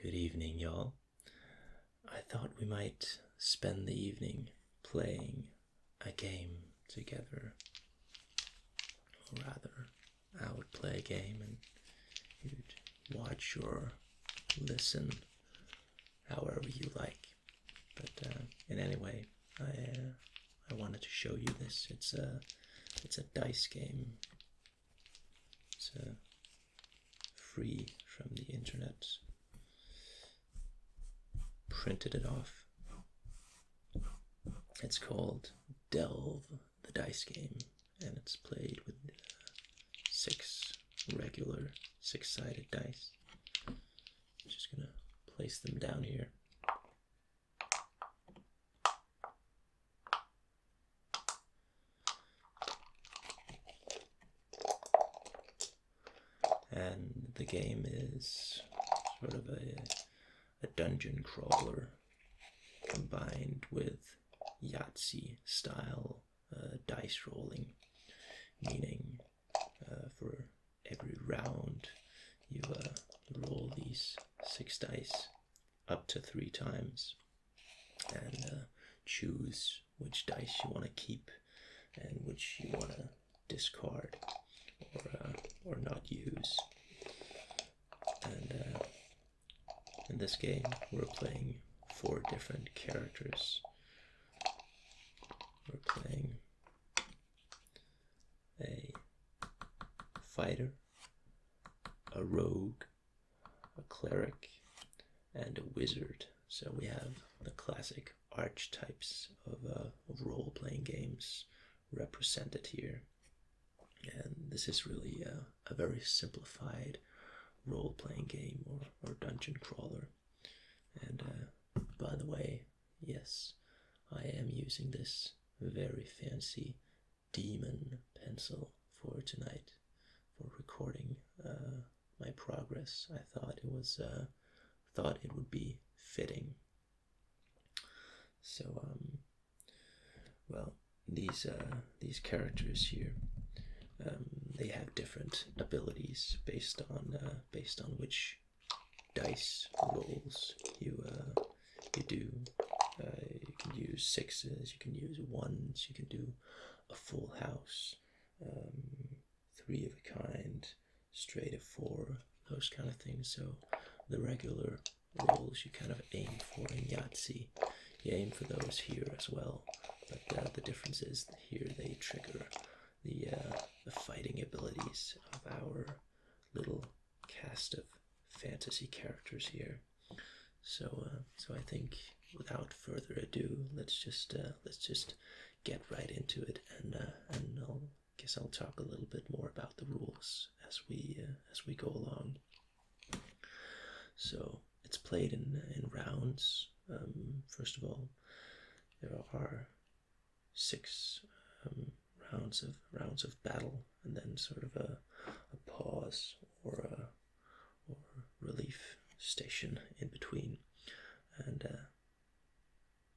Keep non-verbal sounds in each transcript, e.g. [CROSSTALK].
Good evening, y'all. I thought we might spend the evening playing a game together. Or rather, I would play a game and you'd watch or listen however you like. But uh, in any way, I, uh, I wanted to show you this. It's a, it's a dice game so free from the internet. Printed it off. It's called Delve the Dice Game, and it's played with uh, six regular six sided dice. I'm just gonna place them down here. And the game is sort of a, a dungeon crawler combined with Yahtzee style uh, dice rolling, meaning uh, for every round you uh, roll these six dice up to three times and uh, choose which dice you want to keep and which you want to discard or, uh, or not use. And uh, in this game, we're playing four different characters. We're playing a fighter, a rogue, a cleric, and a wizard. So we have the classic archetypes of, uh, role playing games represented here. And this is really uh, a, very simplified role playing game or, or dungeon crawler. And uh, by the way, yes, I am using this very fancy demon pencil for tonight for recording uh, my progress. I thought it was uh, thought it would be fitting. So um, well, these uh, these characters here. Um, they have different abilities based on uh, based on which dice rolls you uh, you do, uh, you can use sixes, you can use ones, you can do a full house, um, three of a kind, straight of four, those kind of things. So the regular rolls you kind of aim for in Yahtzee, you aim for those here as well. But uh, the difference is here they trigger the, uh, the fighting abilities of our little cast of fantasy characters here. So, uh, so I think without further ado, let's just uh, let's just get right into it, and uh, and I'll guess I'll talk a little bit more about the rules as we as we go along. So it's played in in rounds. Um, first of all, there are six um, rounds of rounds of battle and then sort of a, a pause or a or relief station in between. And uh,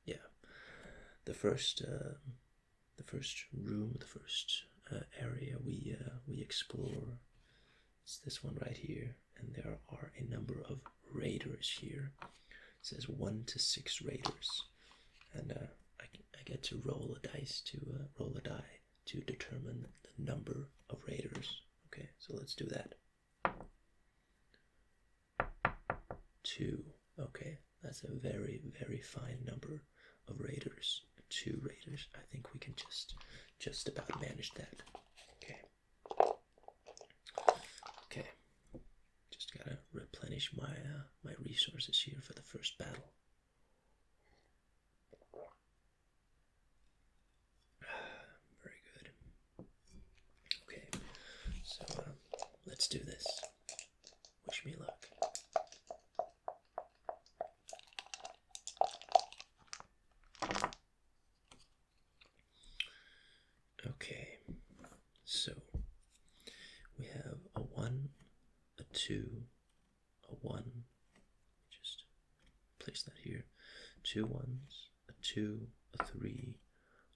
yeah, the first uh, the first room, the first uh, area we uh, we explore is this one right here, and there are a number of raiders here. says one to six raiders, and uh, I, I get to roll a dice to uh, roll a die to determine the number of raiders. Okay, so let's do that. Two. Okay, that's a very, very fine number of raiders. Two raiders. I think we can just, just about manage that. Okay. Okay. Just gotta replenish my uh, my resources here for the first battle. Very good. Okay, so uh, let's do this. Wish me luck. Okay, so we have a 1, a 2, a one. Just place that here. Two ones, a two, a three,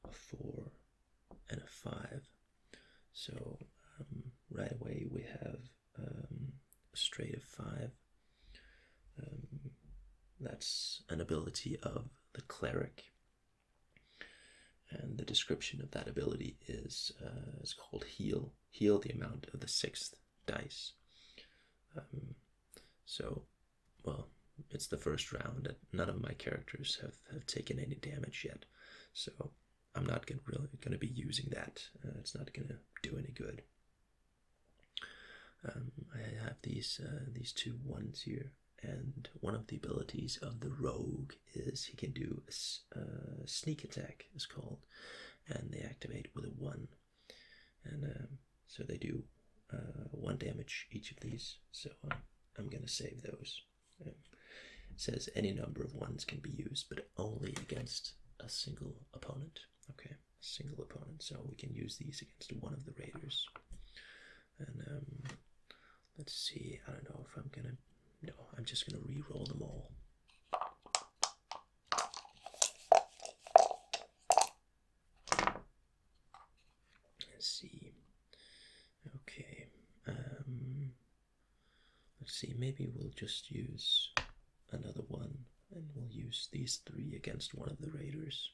a four, and a five. So um, right away we have um, a straight of five. Um, that's an ability of the cleric. And the description of that ability is uh, is called heal, heal the amount of the sixth dice. Um, so, well, it's the first round, and none of my characters have, have taken any damage yet. So, I'm not really going to be using that. Uh, it's not going to do any good. Um, I have these uh, these two ones here, and one of the abilities of the rogue is he can do a, sneak attack is called and they activate with a one and um, so they do uh, one damage each of these so uh, i'm going to save those um, says any number of ones can be used but only against a single opponent okay single opponent so we can use these against one of the raiders and um, let's see i don't know if i'm gonna no i'm just gonna re-roll them all Let's see. Okay. Um, let's see. Maybe we'll just use another one, and we'll use these three against one of the raiders.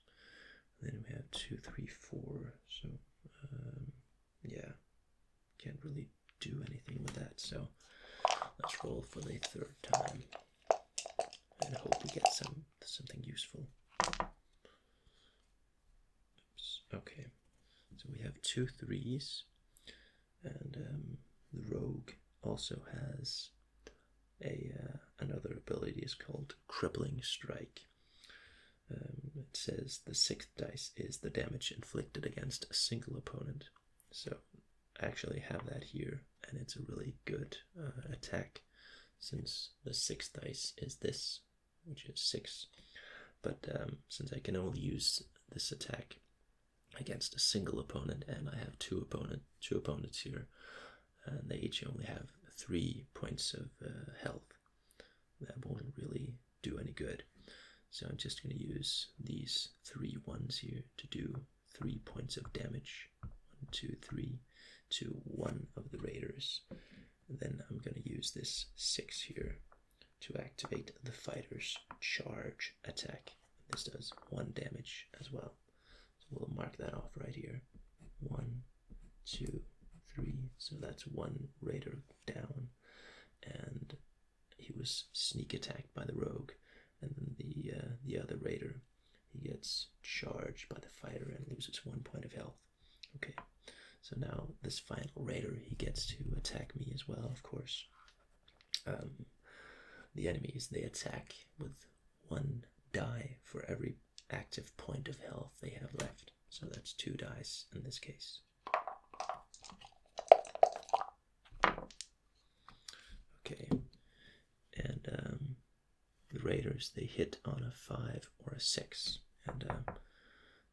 then we have two, three, four. So um, yeah, can't really do anything with that. So let's roll for the third time and hope we get some something useful. Okay, so we have two threes, and um, the rogue also has a uh, another ability is called crippling strike. Um, it says the sixth dice is the damage inflicted against a single opponent so I actually have that here, and it's a really good uh, attack since the sixth dice is this, which is six. But um, since I can only use this attack against a single opponent, and I have two opponent two opponents here, and they each only have three points of uh, health, that won't really do any good. So I'm just going to use these three ones here to do three points of damage. One, two, three to one of the raiders. then I'm going to use this six here to activate the fighter's charge attack. This does one damage as well. So we'll mark that off right here. One, two, three. So that's one raider down. And he was sneak attacked by the rogue, and then the uh, the other raider, he gets charged by the fighter and loses one point of health. Okay, so now this final raider, he gets to attack me as well, of course. Um, the enemies they attack with one die for every active point of health they have left. So that's two dice in this case. Okay, and um, the Raiders they hit on a five or a six, and uh,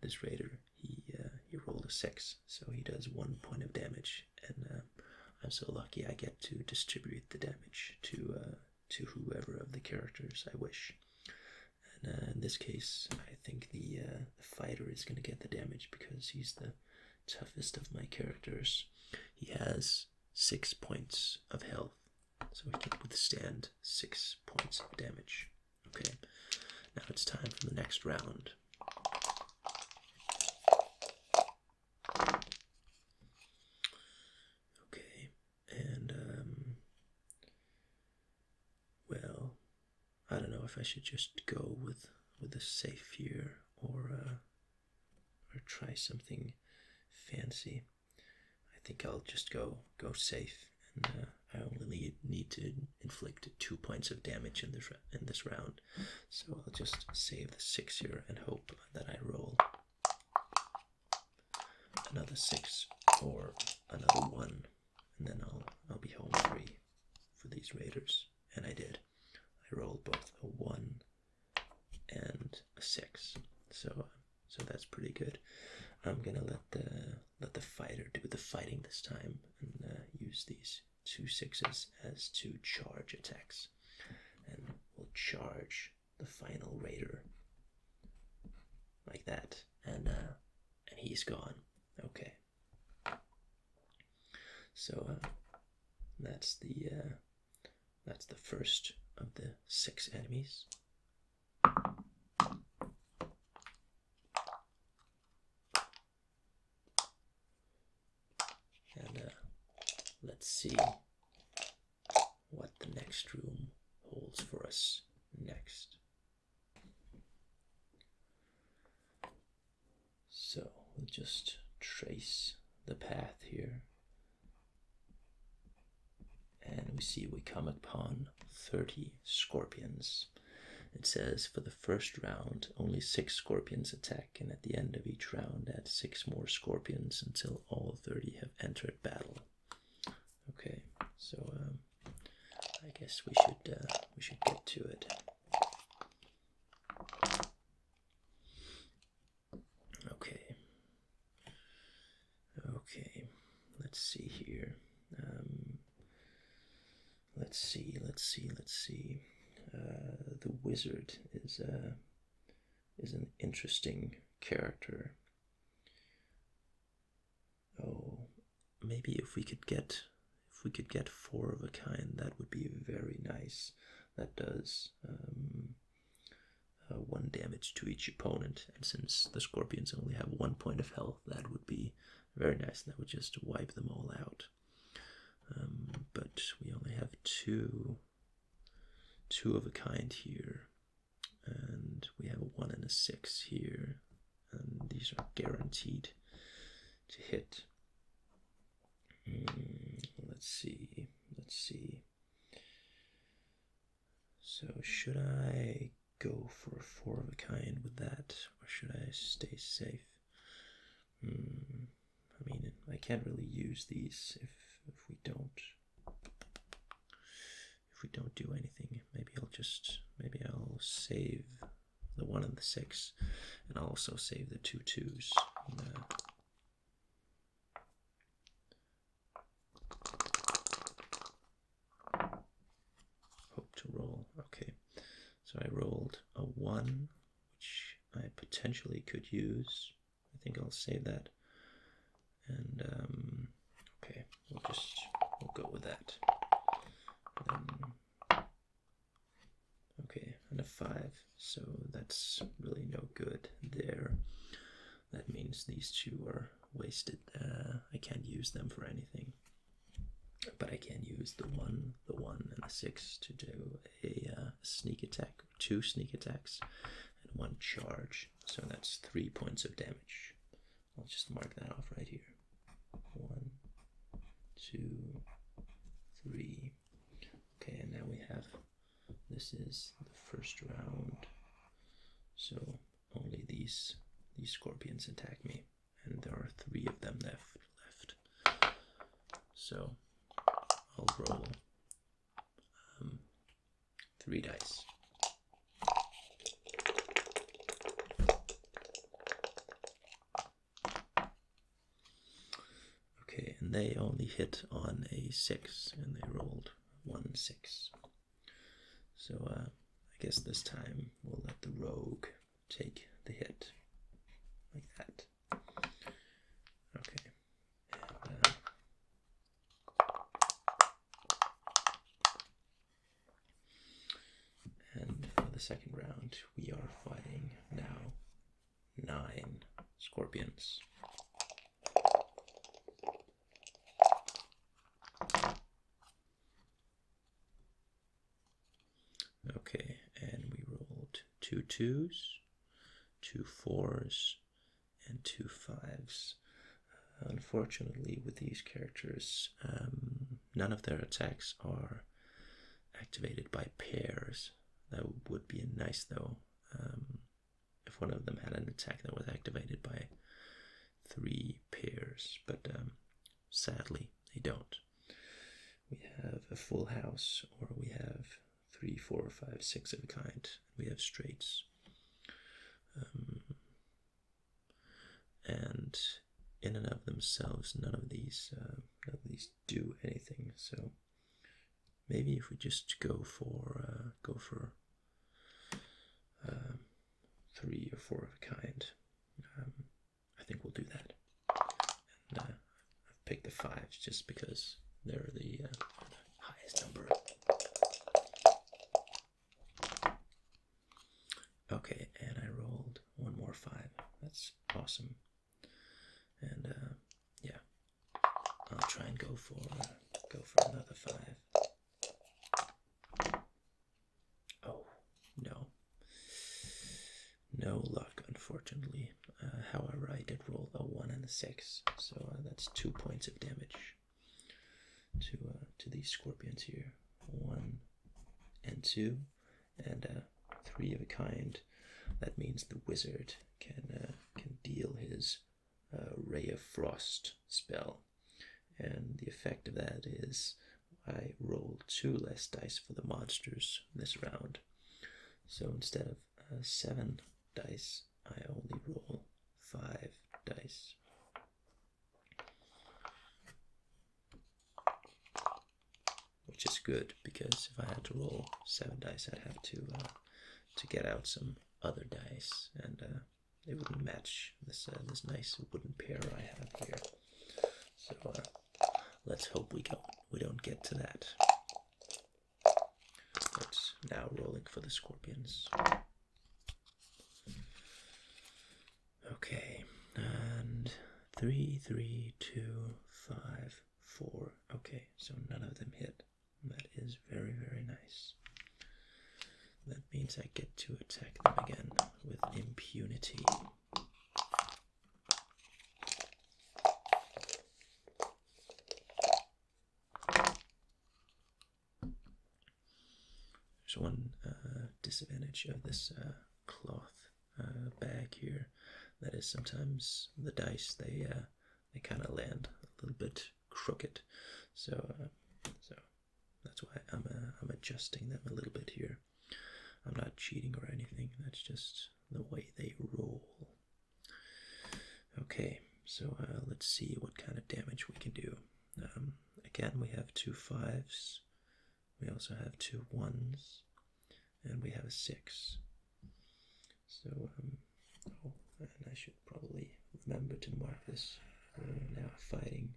this Raider he uh, he rolled a six, so he does one point of damage, and uh, I'm so lucky I get to distribute the damage to to whoever of the characters I wish. And in this case, I think the, the fighter is going to get the damage because he's the toughest of my characters. He has six points of health, so he can withstand six points of damage. Okay, now it's time for the next round. Okay, and um, well, I don't know if I should just go with with a safe here or uh, or try something fancy. I think I'll just go go safe, and uh, I only need, need to inflict two points of damage in this in this round, so I'll just save the six here and hope that I roll another six or another one and then I'll I'll be home free for these Raiders. And I did. I rolled both a one and a six. So so that's pretty good. I'm gonna let the let the fighter do the fighting this time and uh, use these two sixes as two charge attacks, and we'll charge the final raider like that, and uh, and he's gone. Okay, so uh, that's the uh, that's the first of the six enemies. And uh, let's see what the next room holds for us next. So we'll just trace the path here. And we see we come upon 30 scorpions. It says for the first round, only six scorpions attack, and at the end of each round, add six more scorpions until all 30 have entered battle. Okay, so um, I guess we should uh, we should get to it. Okay. Okay. Let's see here. Um, let's see. Let's see. Let's see. Uh, the wizard is uh, is an interesting character. Oh, maybe if we could get if we could get four of a kind, that would be very nice. That does um, uh, one damage to each opponent, and since the scorpions only have one point of health, that would be very nice. and That would just wipe them all out. Um, but we only have two, two of a kind here, and we have a one and a six here and these are guaranteed to hit. Hmm, let's see, let's see. So, should I go for four of a kind with that, or should I stay safe? Hmm, I mean, I can't really use these if, if we don't if we don't do anything. Maybe I'll just maybe I'll save the 1 and the 6. And I'll also save the two twos. The... Hope to roll. Okay, so I rolled a 1, which I potentially could use. I think I'll save that. And, um, okay, we'll just, we'll go with that. Okay, and a 5, so that's really no good there. That means these two are wasted. Uh, I can't use them for anything. But I can use the 1, the 1, and the 6 to do a uh, sneak attack, two sneak attacks, and one charge. So that's 3 points of damage. I'll just mark that off right here. One, two, three. Okay, and now we have this is the first round. So only these these scorpions attack me, and there are three of them left left. So I'll roll um, three dice. Okay, and they only hit on a six, and they rolled one six. So uh, I guess this time we'll let the rogue take the hit, like that. Okay. Uh, and for the second round, we are fighting now nine scorpions. Okay, and we rolled two twos, two fours, and two fives. Unfortunately, with these characters, um, none of their attacks are activated by pairs. That would be nice though. Um, if one of them had an attack that was activated by three pairs, but um, sadly they don't. We have a full house, or we have three, four, five, six of a kind. We have straights. Um, and in and of themselves, none of these at uh, least do anything. So maybe if we just go for uh, go for um, three or four of a kind, um, I think we'll do that. Uh, I've picked the fives just because they're the highest number. Okay, and I rolled one more five. That's awesome. And uh, yeah, I'll try and go for go for another five. Oh no, no luck, unfortunately. Uh, however, I did roll a one and a six, so uh, that's two points of damage to to these scorpions here. One and two and uh, three of a kind. That means the wizard can uh, can deal his uh, ray of frost spell, and the effect of that is I roll two less dice for the monsters this round. So instead of seven dice, I only roll five dice which is good because if I had to roll seven dice, I'd have to uh, to get out some other dice, and uh, it wouldn't match this uh, this nice wooden pair I have here. So uh, let's hope we don't we don't get to that. But now rolling for the scorpions. Okay, and three, three, two, five, four. Okay, so none of them hit. That is very, very nice. That means I get to attack them again with impunity. There's one uh, disadvantage of this uh, cloth uh, back here. That is sometimes the dice they uh, they kind of land a little bit crooked, so uh, so that's why I'm uh, I'm adjusting them a little bit here. I'm not cheating or anything. That's just the way they roll. Okay, so uh, let's see what kind of damage we can do. Um, again, we have two fives, we also have two ones, and we have a six. So, um, oh, and I should probably remember to mark this. We're now fighting.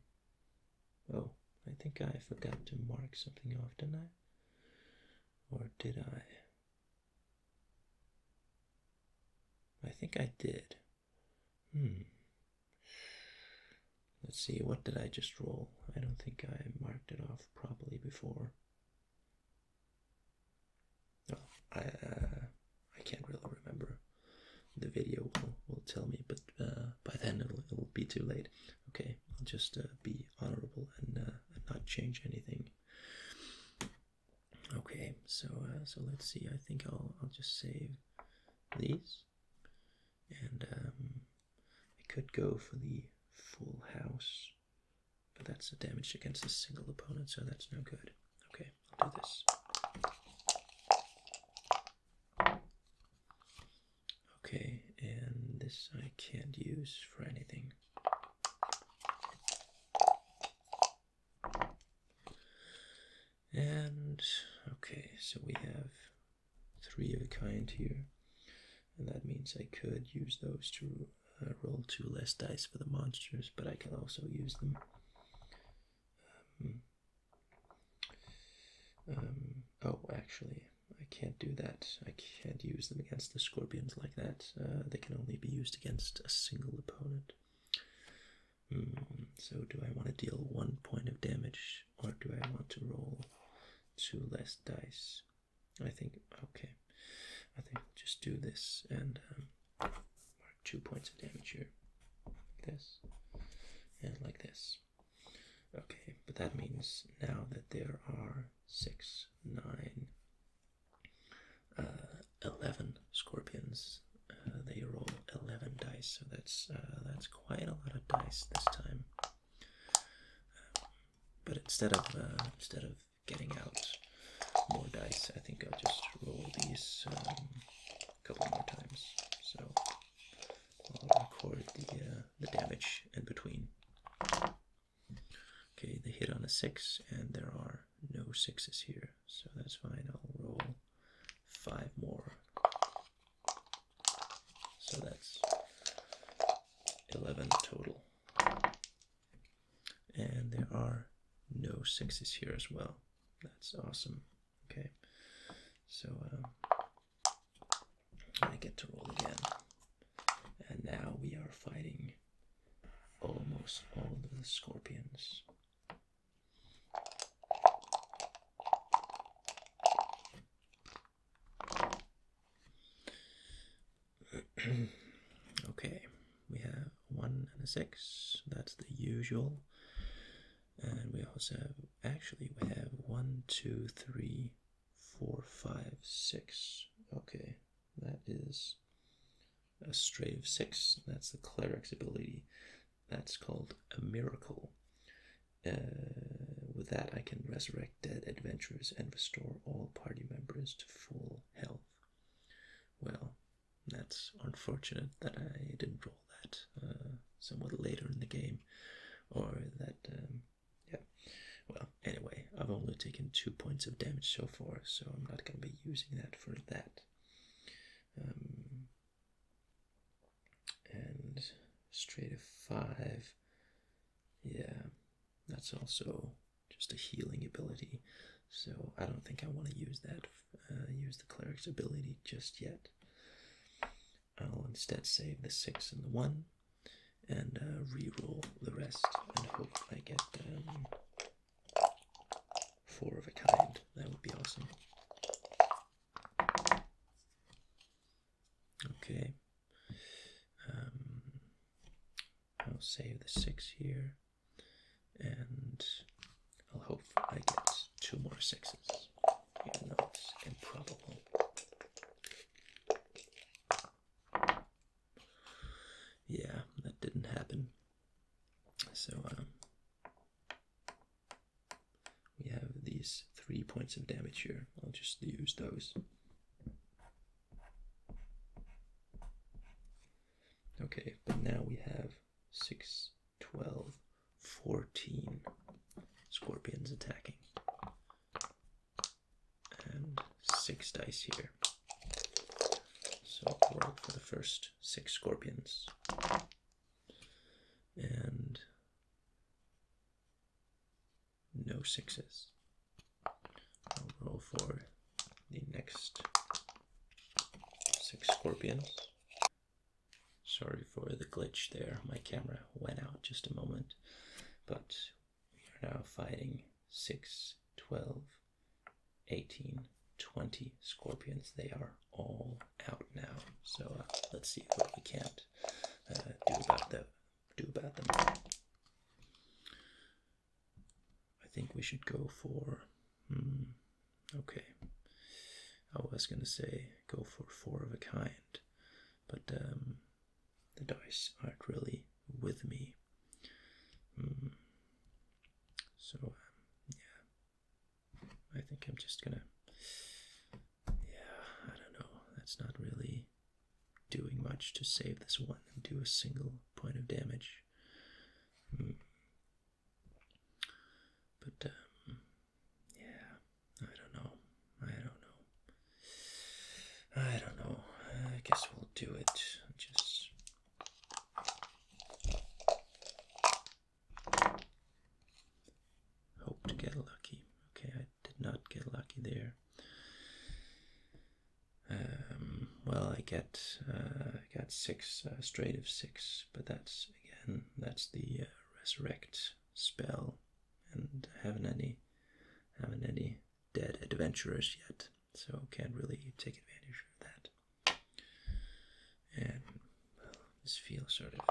Oh, I think I forgot to mark something off, didn't I? Or did I? I think I did. Hmm. Let's see, what did I just roll? I don't think I marked it off properly before. Oh, I uh, I can't really remember. The video will, tell me, but uh, by then it'll, it'll be too late. Okay, I'll just uh, be honorable and, not change anything. Okay, so so let's see. I think I'll I'll just save these. And um, I could go for the full house, but that's the damage against a single opponent, so that's no good. Okay, I'll do this. Okay, and this I can't use for anything. And okay, so we have three of a kind here. And that means I could use those to uh, roll two less dice for the monsters, but I can also use them. Um, um, oh, actually, I can't do that. I can't use them against the scorpions like that. Uh, they can only be used against a single opponent. Mm, so, do I want to deal one point of damage, or do I want to roll two less dice. I think, okay, I think just do this and um, mark two points of damage here. this and like this. Okay, but that means now that there are six, nine, uh, 11 scorpions. Uh, they roll 11 dice, so that's uh, that's quite a lot of dice this time but instead of uh, instead of getting out more dice, I think I'll just roll these um, a couple more times. So I'll record the uh, the damage in between. Okay, they hit on a six, and there are no sixes here, so that's fine. I'll roll five more so that's 11 total. And there are no sixes here as well. That's awesome. Okay, so um, I get to roll again. And now we are fighting almost all of the scorpions. [CLEARS THROAT] okay, we have one and a six. That's the usual. And we also have, actually, we have one, two, three, four, five, six. Okay, that is a stray of six. That's the cleric's ability. That's called a miracle. Uh, with that, I can resurrect dead adventurers and restore all party members to full health. Well, that's unfortunate that I didn't roll that uh, somewhat later in the game, or that, um, yeah. Well, anyway, I've only taken two points of damage so far, so I'm not going to be using that for that. Um, and straight of five. Yeah, that's also just a healing ability. So I don't think I want to use that. Uh, use the cleric's ability just yet. I'll instead save the six and the one, and uh, re-roll the rest, and hope I get um, four of a kind. That would be awesome. Okay. Um, I'll save the six here, and I'll hope I get two more sixes, even though it's improbable. Yeah, that didn't happen. So, um, we have these three points of damage here. I'll just use those. Okay, but now we have six, twelve, fourteen scorpions attacking. And 6 dice here. So roll for the first 6 scorpions. And no 6s roll for the next six scorpions. Sorry for the glitch there. My camera went out just a moment. But we are now fighting six, twelve, eighteen, twenty scorpions. They are all out now. So uh, let's see what we can't uh, do about that. Do about them. I think we should go for. Hmm, okay. I was gonna say go for four of a kind, but um, the dice aren't really with me. Hmm. So um, yeah, I think I'm just gonna yeah, I don't know. That's not really doing much to save this one and do a single point of damage. Hmm. But, um, yeah, I don't know. I don't know. I don't know. I guess we'll do it. Just hope to get lucky. Okay, I did not get lucky there. Um, well, I get uh, got six uh, straight of six, but that's again that's the uh, resurrect spell, and haven't any haven't any dead adventurers yet, so can't really take advantage of that. And this feels sort of.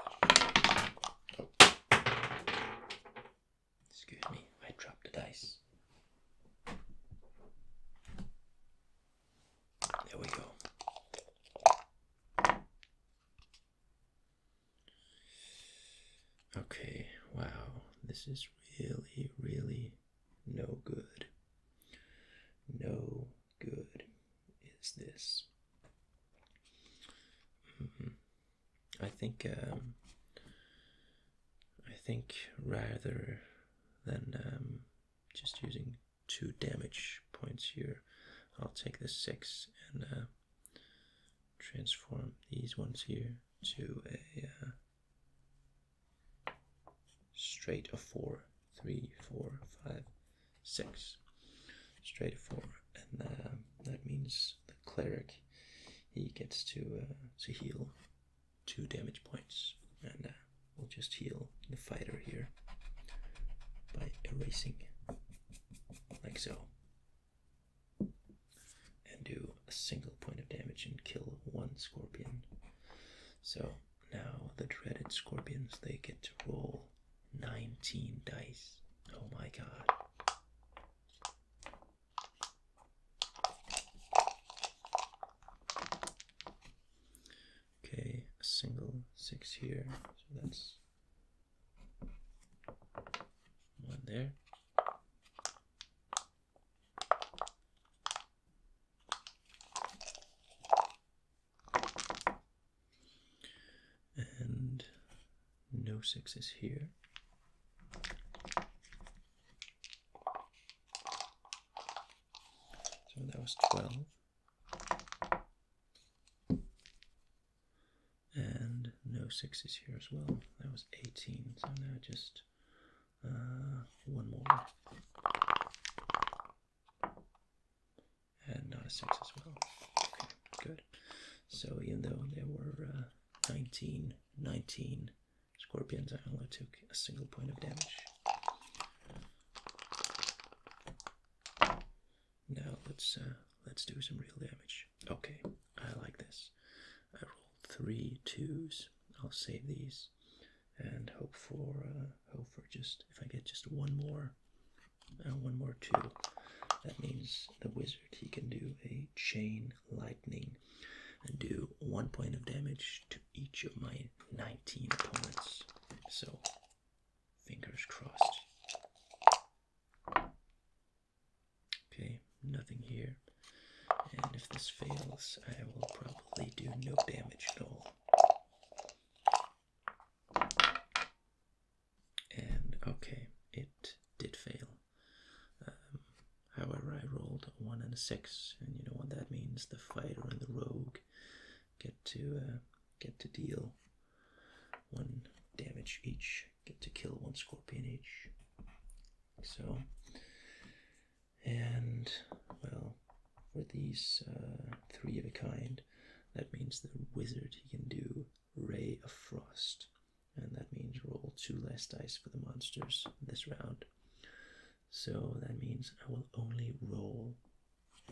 Excuse me, I dropped the dice. There we go. Okay, wow, this is really, really no good. No good is this. Mm-hmm. I think um, I think rather than um, just using two damage points here, I'll take the six and uh, transform these ones here to a uh, straight of four, three, four, five, six. straight four, and uh, that means the cleric he gets to uh, to heal two damage points, and uh, we'll just heal the fighter here by erasing like so, and do a single point of damage and kill one scorpion. So now the dreaded scorpions they get to roll 19 dice. Oh my god. Okay, a single six here. So that's one there and no six is here. So that was 12. And no 6 is here as well. That was 18. So now just uh, one more and not a six as well. Okay, good. So even though there were uh, 19, scorpions, I only took a single point of damage. Now let's uh, let's do some real damage. Okay, I like this. I rolled three twos. I'll save these and hope for uh, hope for just if I get just one more uh, one more two. That means the wizard, he can do a chain lightning and do one point of damage to each of my 19 opponents. So, fingers crossed. Okay, nothing here. And if this fails, I will probably do no damage at all and okay, it did fail. Um, however, I rolled a one and a six, and you know what that means: the fighter and the rogue get to uh, get to deal one damage each, get to kill one scorpion each. So, and well, for these uh, three of a kind, that means the wizard he can do Ray of Frost. And that means roll two less dice for the monsters this round. So that means I will only roll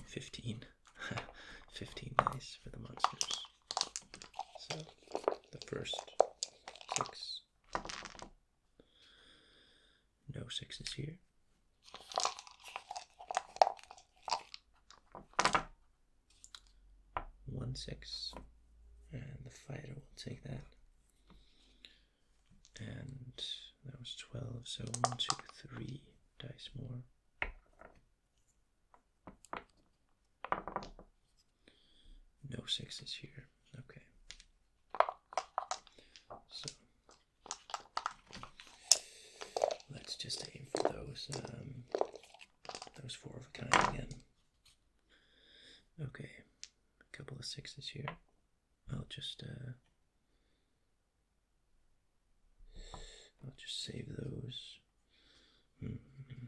15. [LAUGHS] 15 dice for the monsters. So the first six. No sixes here. One six, and the fighter will take that. And that was twelve, so one, two, three dice more. No sixes here. Okay. So let's just aim for those. Um, those four of a kind again. Okay, a couple of sixes here. I'll just uh, I'll just save those. Mm-hmm.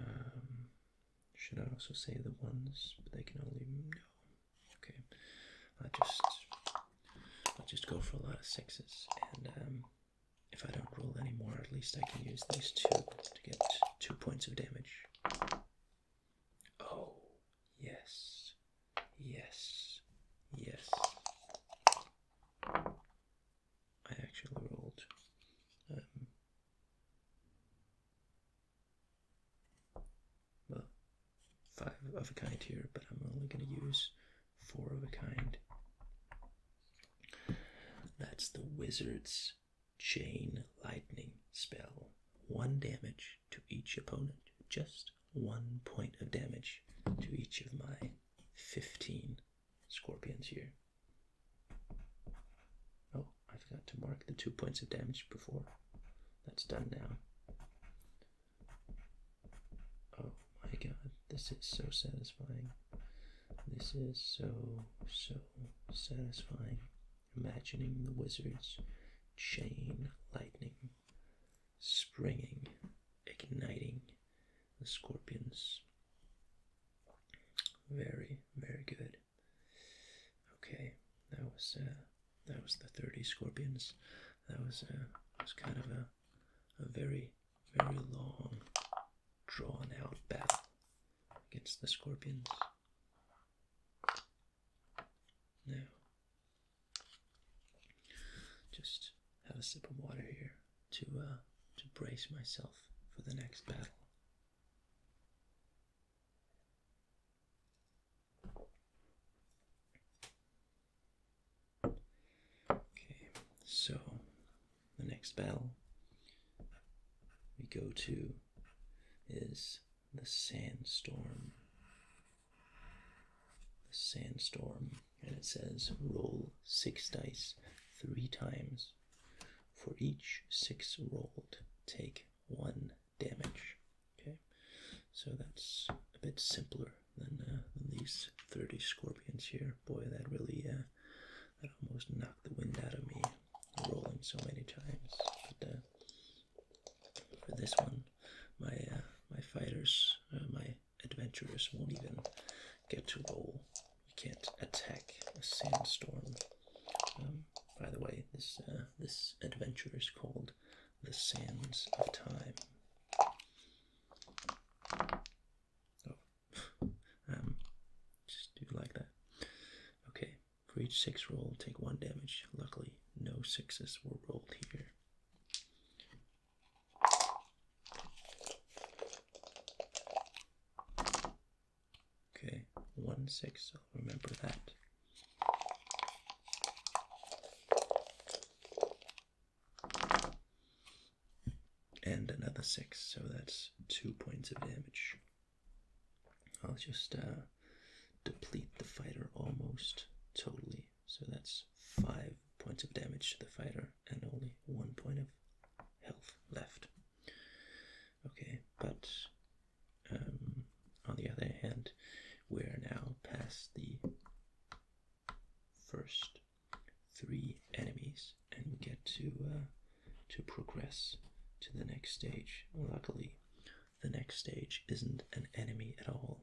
Um, should I also save the ones? But they can only no. Okay, I just I just go for a lot of sixes, and um, if I don't roll anymore, at least I can use these two to get two points of damage. Oh yes, yes, yes. I actually rolled um, well, five of a kind here, but I'm only going to use four of a kind. That's the wizard's chain lightning spell. One damage to each opponent, just one point of damage to each of my 15 scorpions here. Oh, I forgot to mark the two points of damage before. That's done now. Oh my god, this is so satisfying. This is so, so satisfying. Imagining the wizard's chain lightning springing, igniting the scorpions. Very, very good. Okay, that was uh, that was the 30 scorpions. That was uh, a was kind of a a very very long drawn out battle against the scorpions. Now just have a sip of water here to uh, to brace myself for the next battle. Okay, so the next bell we go to is the sandstorm. The sandstorm, and it says roll six dice three times. For each six rolled, take one damage. Okay, so that's a bit simpler uh, than, these 30 scorpions here. Boy, that really, uh, that almost knocked the wind out of me rolling so many times. But uh, for this one, my uh, my fighters, uh, my adventurers won't even get to roll. You can't attack a sandstorm. Um, by the way, this uh, this adventure is called the sands of time. Oh, [LAUGHS] um, just do like that. Okay, for each six roll, take one damage. Luckily, no sixes were rolled here. Okay, one six, I'll remember that. And another six, so that's two points of damage. I'll just uh, deplete the fighter almost totally. So that's five points of damage to the fighter and only one point of health left. Okay, but um, on the other hand, we're now past the first three enemies, and we get to uh, to progress to the next stage. Luckily, the next stage isn't an enemy at all.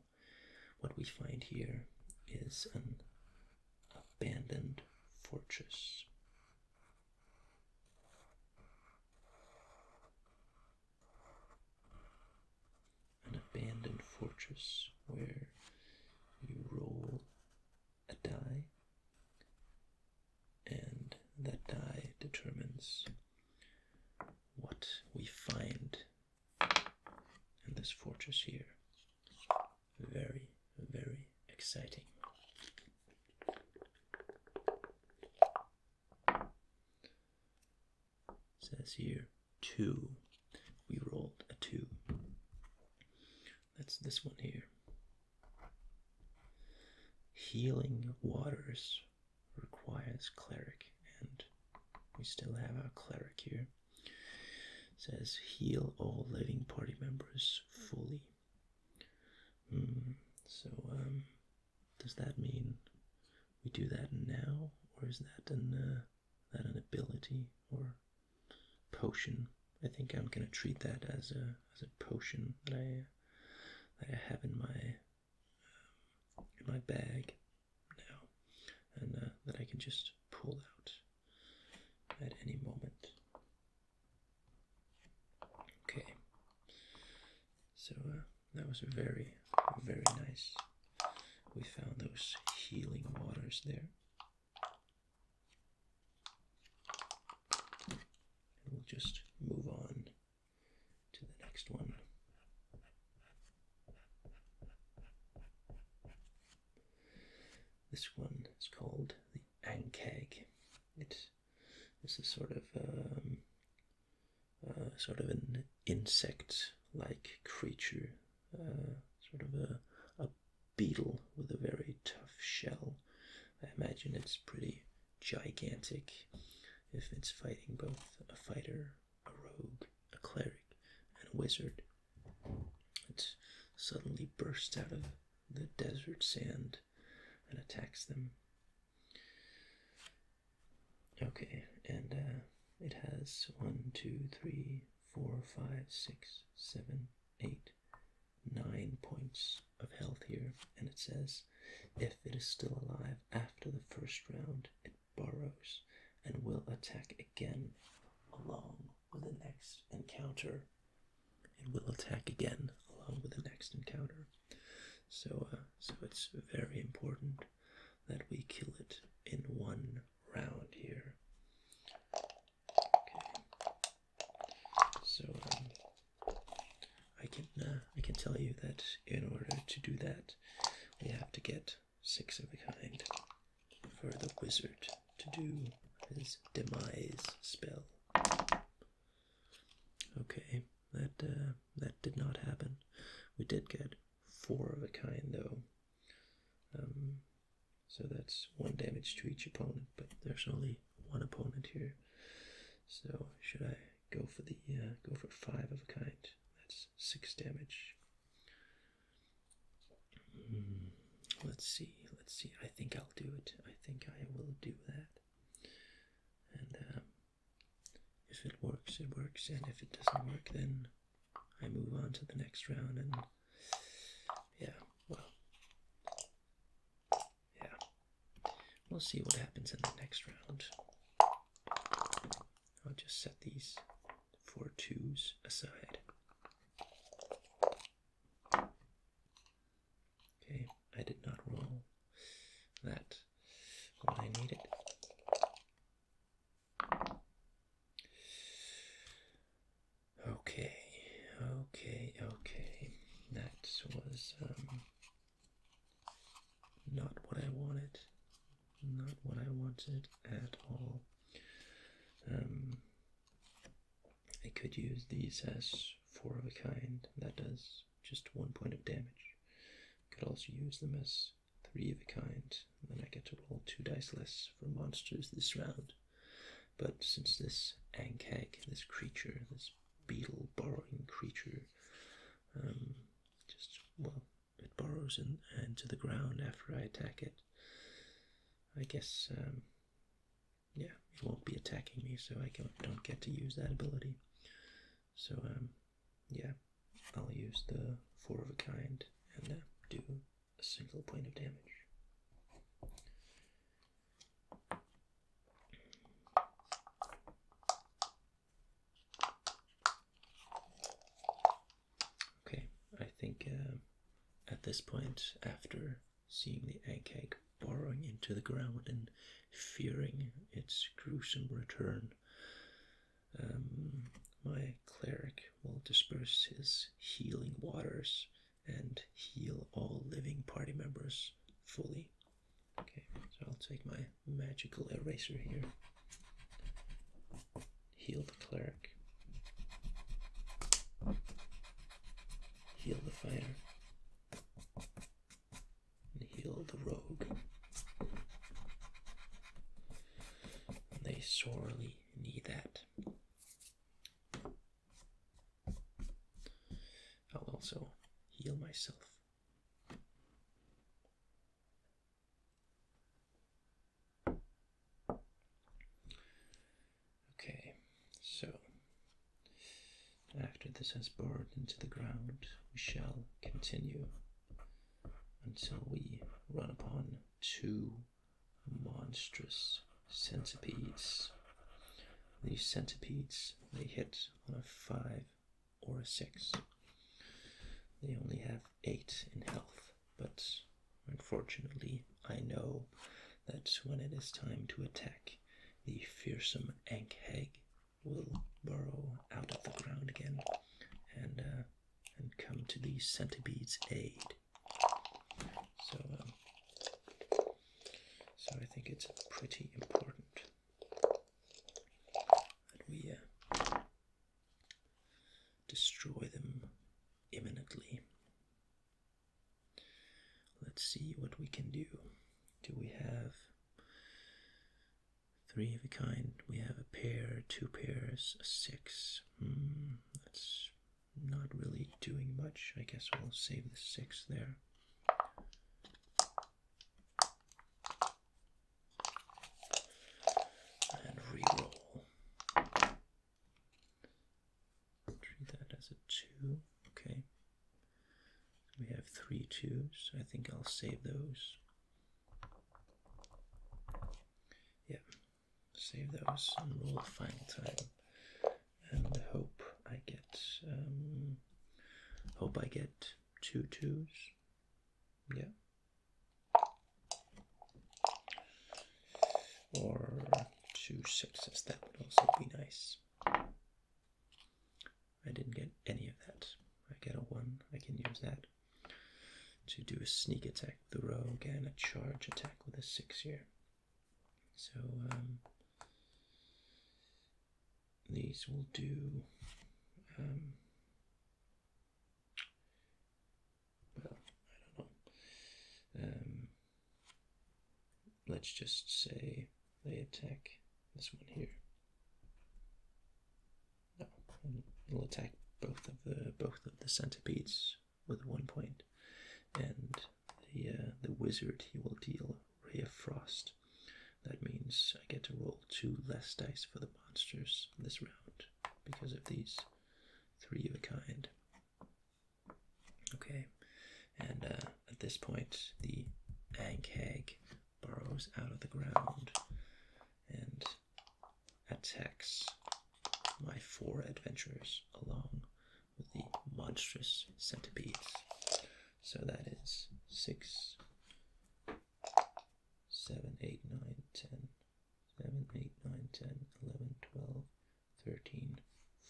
What we find here is an abandoned fortress an abandoned fortress where you roll a die, and that die determines what we find in this fortress here. Very, very exciting says here two. We rolled a two. That's this one here. Healing waters requires cleric, and we still have our cleric here. Says heal all living party members fully. Mm, so um, does that mean we do that now, or is that an uh, that an ability or potion? I think I'm gonna treat that as a as a potion that I that I have in my um, in my bag now, and uh, that I can just pull out at any moment. Okay, so uh, that was very, very nice. We found those healing waters there. And we'll just move on to the next one. This one is called the Ankeg. It is is sort of um, uh, sort of an insect-like creature, uh, sort of a, a beetle with a very tough shell. I imagine it's pretty gigantic if it's fighting both a fighter, a rogue, a cleric, and a wizard. It suddenly bursts out of the desert sand and attacks them. Okay, and uh, it has one, two, three, four, five, six, seven, eight, nine points of health here, and it says if it is still alive after the first round, it burrows and will attack again along with the next encounter. and will attack again along with the next encounter. So, uh, so it's very important that we kill it in one round here. Okay. So um, I can uh, I can tell you that in order to do that, we have to get six of a kind for the wizard to do his demise spell. Okay that uh, that did not happen. We did get four of a kind though, um, so that's one damage to each opponent. But there's only one opponent here, so should I go for the uh, go for five of a kind? That's six damage. Hmm, let's see, let's see. I think I'll do it. I think I will do that. And um, if it works, it works, and if it doesn't work, then I move on to the next round, and yeah, well, yeah, we'll see what happens in the next round. I'll just set these four twos aside. Okay, I did not roll that what I need it. Okay, okay, okay. That was um, not what I wanted. Not what I wanted at all. Um, I could use these as four of a kind. That does just one point of damage. Could also use them as three of a kind, then I get to roll two dice less for monsters this round. But since this Ankeg, this creature, this beetle borrowing creature, um, just, well, it burrows in, and to the ground after I attack it, I guess, um, yeah, it won't be attacking me, so I don't get to use that ability. So um, yeah, I'll use the four of a kind and uh, do a single point of damage. Okay, I think uh, at this point, after seeing the egg burrowing into the ground and fearing its gruesome return. Um, my cleric will disperse his healing waters and heal all living party members fully. Okay, so I'll take my magical eraser here. Heal the cleric. Heal the fire and heal the rogue. They sorely need that. I'll also heal myself. Okay, so after this has burrowed into the ground, we shall continue until we run upon two monstrous centipedes. These centipedes, may hit on a five or a six. They only have eight in health, but unfortunately, I know that when it is time to attack the fearsome Ankheg, will burrow out of the ground again and uh, and come to the centipede's aid. So, um, so I think it's pretty important that we uh, destroy them imminently. Let's see what we can do. Do we have Three of a kind. We have a pair, two pairs, a six. Hmm, that's not really doing much. I guess we'll save the six there. And re-roll. Treat that as a two. Okay, we have three twos. I think I'll save those. Yeah, save those and roll the final time. And hope I get, um, hope I get two twos. Yeah. Or two sixes, that would also be nice. I didn't get any of that. I get a 1. I can use that to do a sneak attack the rogue and a charge attack with a 6 here. So um, these will do. Um, well, I don't know. Um, let's just say they attack this one here. No, it'll attack both of the both of the centipedes with one point, and the uh, the wizard he will deal ray of frost. That means I get to roll two less dice for the monsters this round because of these three of a kind. Okay, and uh, at this point the Ankh burrows out of the ground and attacks my four adventurers along with the monstrous centipedes. So that is 6, 7, 8, 9, 10, 7, 8, 9, 10, 11, 12, 13,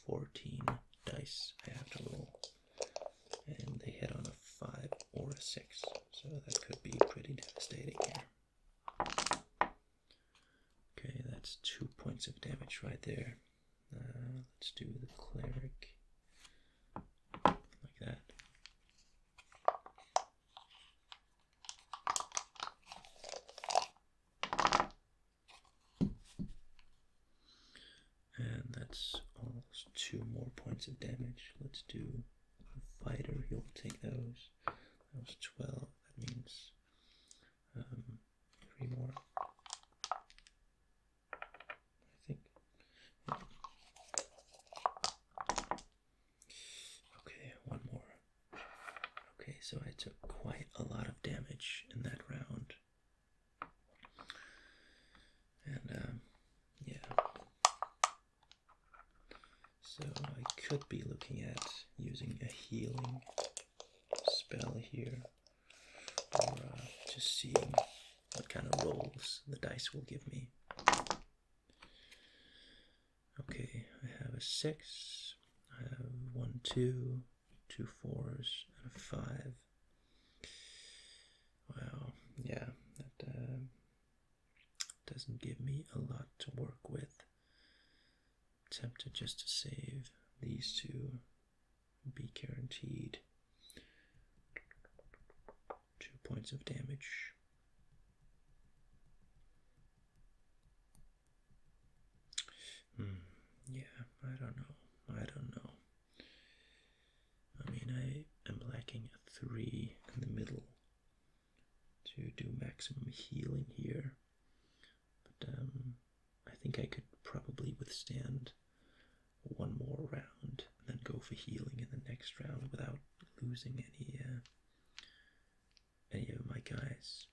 14 dice I have to roll. And they hit on a 5 or a 6. So that could be pretty devastating here. Okay, that's two points of damage right there. Uh, let's do the cleric like that. And that's two more points of damage. Let's do a fighter. He'll take those. That was 12. That means um, three more. I think. Okay, one more. Okay, so I took quite a lot of damage in that round. And um, yeah, so I could be looking at using a healing spell here, or uh, just seeing what kind of rolls the dice will give me. Okay, I have a six, I have one, two, two fours, and a five. Well, yeah, that uh, doesn't give me a lot to work with. Tempted just to save these two. Be guaranteed two points of damage. Hmm. Yeah, I don't know. I don't know. I mean, I am lacking a 3 in the middle to do maximum healing here. But um, I think I could probably withstand one more round and then go for healing in the next round without losing any uh, any of my guys.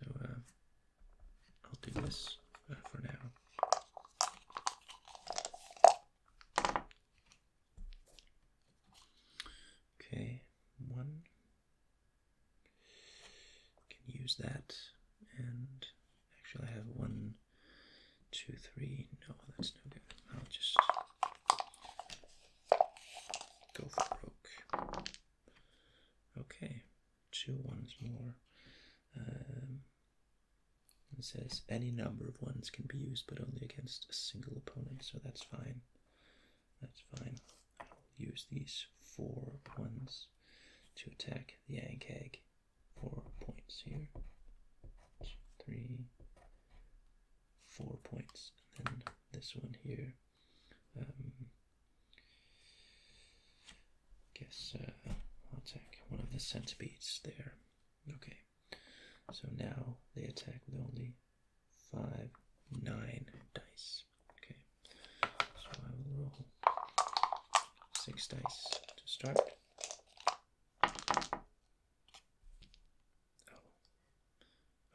So uh, I'll do this uh, for now. Okay, one can use that, and actually I have one, two, three. No, that's no good. I'll just go broke. Okay, two ones more. Um, it says any number of ones can be used, but only against a single opponent, so that's fine. That's fine. I'll use these four ones to attack the ankag. Four points here. Two, three, four points. And then this one here. Um, guess uh, I'll attack one of the centipedes there. Okay, so now they attack with only five, nine dice. Okay, so I will roll six dice to start. Oh.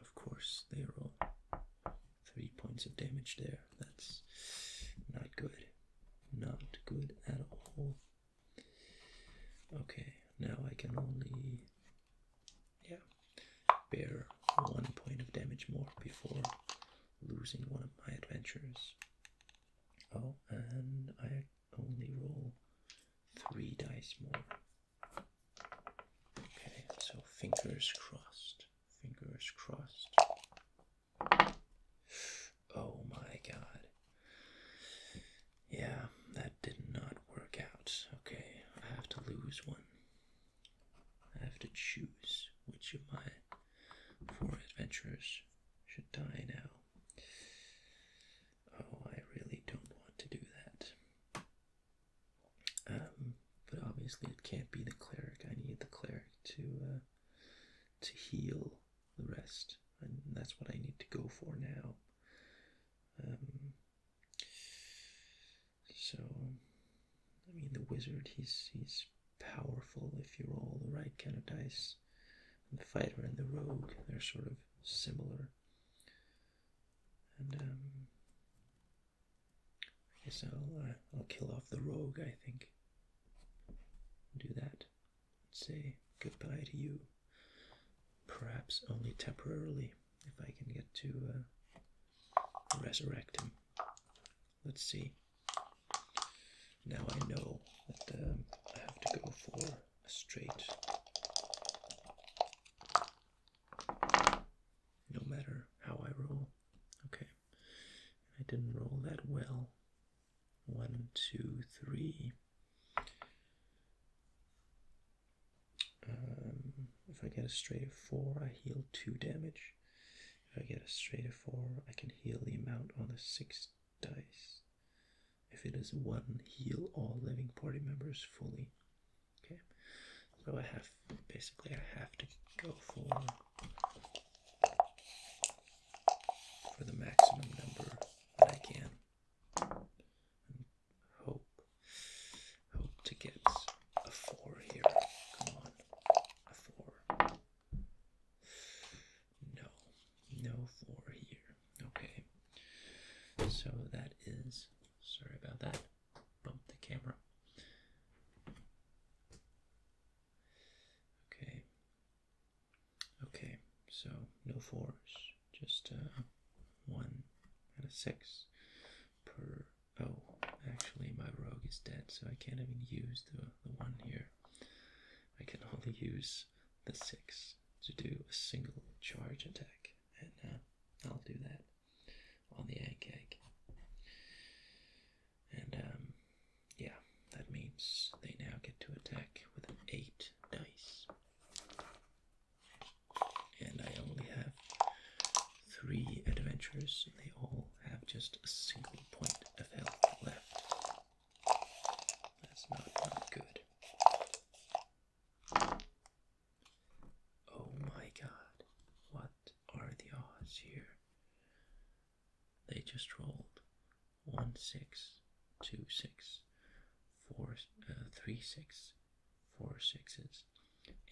of course, they roll three points of damage there. That's not good. Not good at all. Okay, now I can only yeah bear one point of damage more before losing one of my adventures. Oh, and I only roll three dice more. Okay, so fingers crossed. Fingers crossed. Oh my god. Yeah, that did not work out. Okay, I have to lose one. I have to choose which of my four adventurers should die now. Oh, I really don't want to do that. Um, but obviously it can't be the cleric. I need the cleric to uh, to heal the rest that's what I need to go for now. Um, so, I mean, the wizard he's he's powerful if you roll the right kind of dice. the fighter and the rogue they're sort of similar. And um, I guess I'll uh, I'll kill off the rogue. I think. Do that say goodbye to you. Perhaps only temporarily, if I can get to uh, resurrect him. Let's see. Now I know that um, I have to go for a straight. No matter how I roll. Okay. I didn't roll that well. One, two, three. Um, if I get a straight of four, I heal two damage. If I get a straight of four, I can heal the amount on the six dice. If it is one, heal all living party members fully. Okay, so I have basically I have to go for for the maximum number that I can. hope, hope to get a four here. Come on, a four. No, no four here. Okay, so that is. Sorry about that. Bump the camera. Okay, Okay, so no fours, just a uh, one and a six per. Oh, actually, my rogue is dead, so I can't even use the, the one here. I can only use the six to do a single charge attack, and uh, I'll do that on the egg egg. And um, yeah, that means they now get to attack with an 8 dice. And I only have three adventurers, they all have just a single point of health left. That's not good. Oh my god, what are the odds here? They just rolled one six, two six, four, uh, three six, four sixes,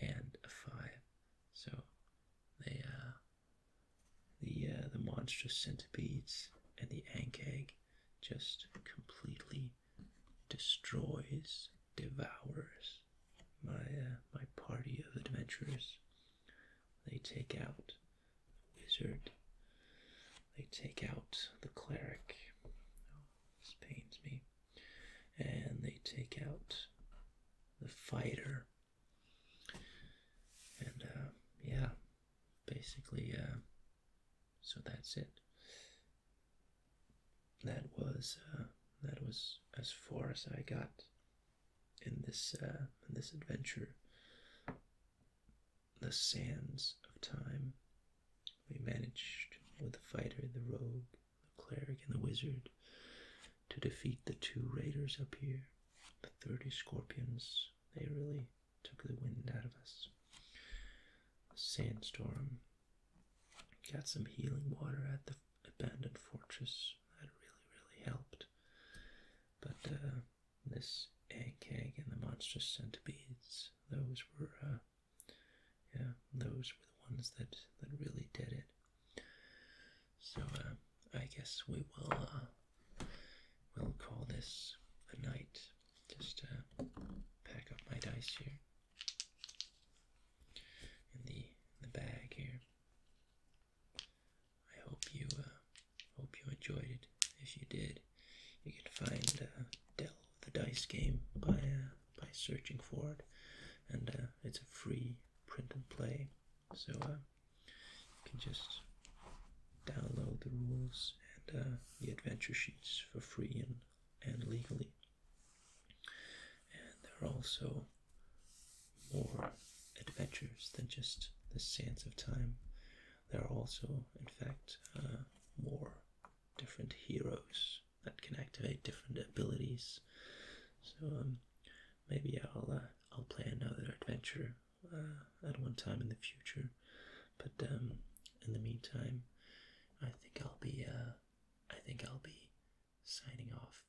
and a five. So uh, the uh, the monstrous centipedes and the ank just completely destroys, devours my uh, my party of adventurers. They take out the wizard. They take out the cleric. Oh, this pains me. And they take out the fighter. And uh, yeah, basically, uh, so that's it. That was uh, that was as far as I got in this uh, in this adventure the sands of time. We managed with the fighter, the rogue, the cleric, and the wizard to defeat the two raiders up here, the 30 scorpions. They really took the wind out of us. sandstorm. Got some healing water at the abandoned fortress. That really, really helped. But uh, this egg egg and the monstrous centipedes. Those were, uh, yeah, those were the ones that that really did it. So uh, I guess we will uh, we'll call this a night. Just pack up my dice here in the in the bag here. I hope you uh, hope you enjoyed it. If you did, you can find uh, Dell the Dice Game by uh, by searching for it, and it's a free print and play. So you can just download the rules and the adventure sheets for free and and legally. And there are also more adventures than just the sands of time. There are also, in fact, uh, more different heroes that can activate different abilities. So um, maybe I'll uh, I'll play another adventure uh, at one time in the future. But um, in the meantime, I think I'll be I think I'll be signing off.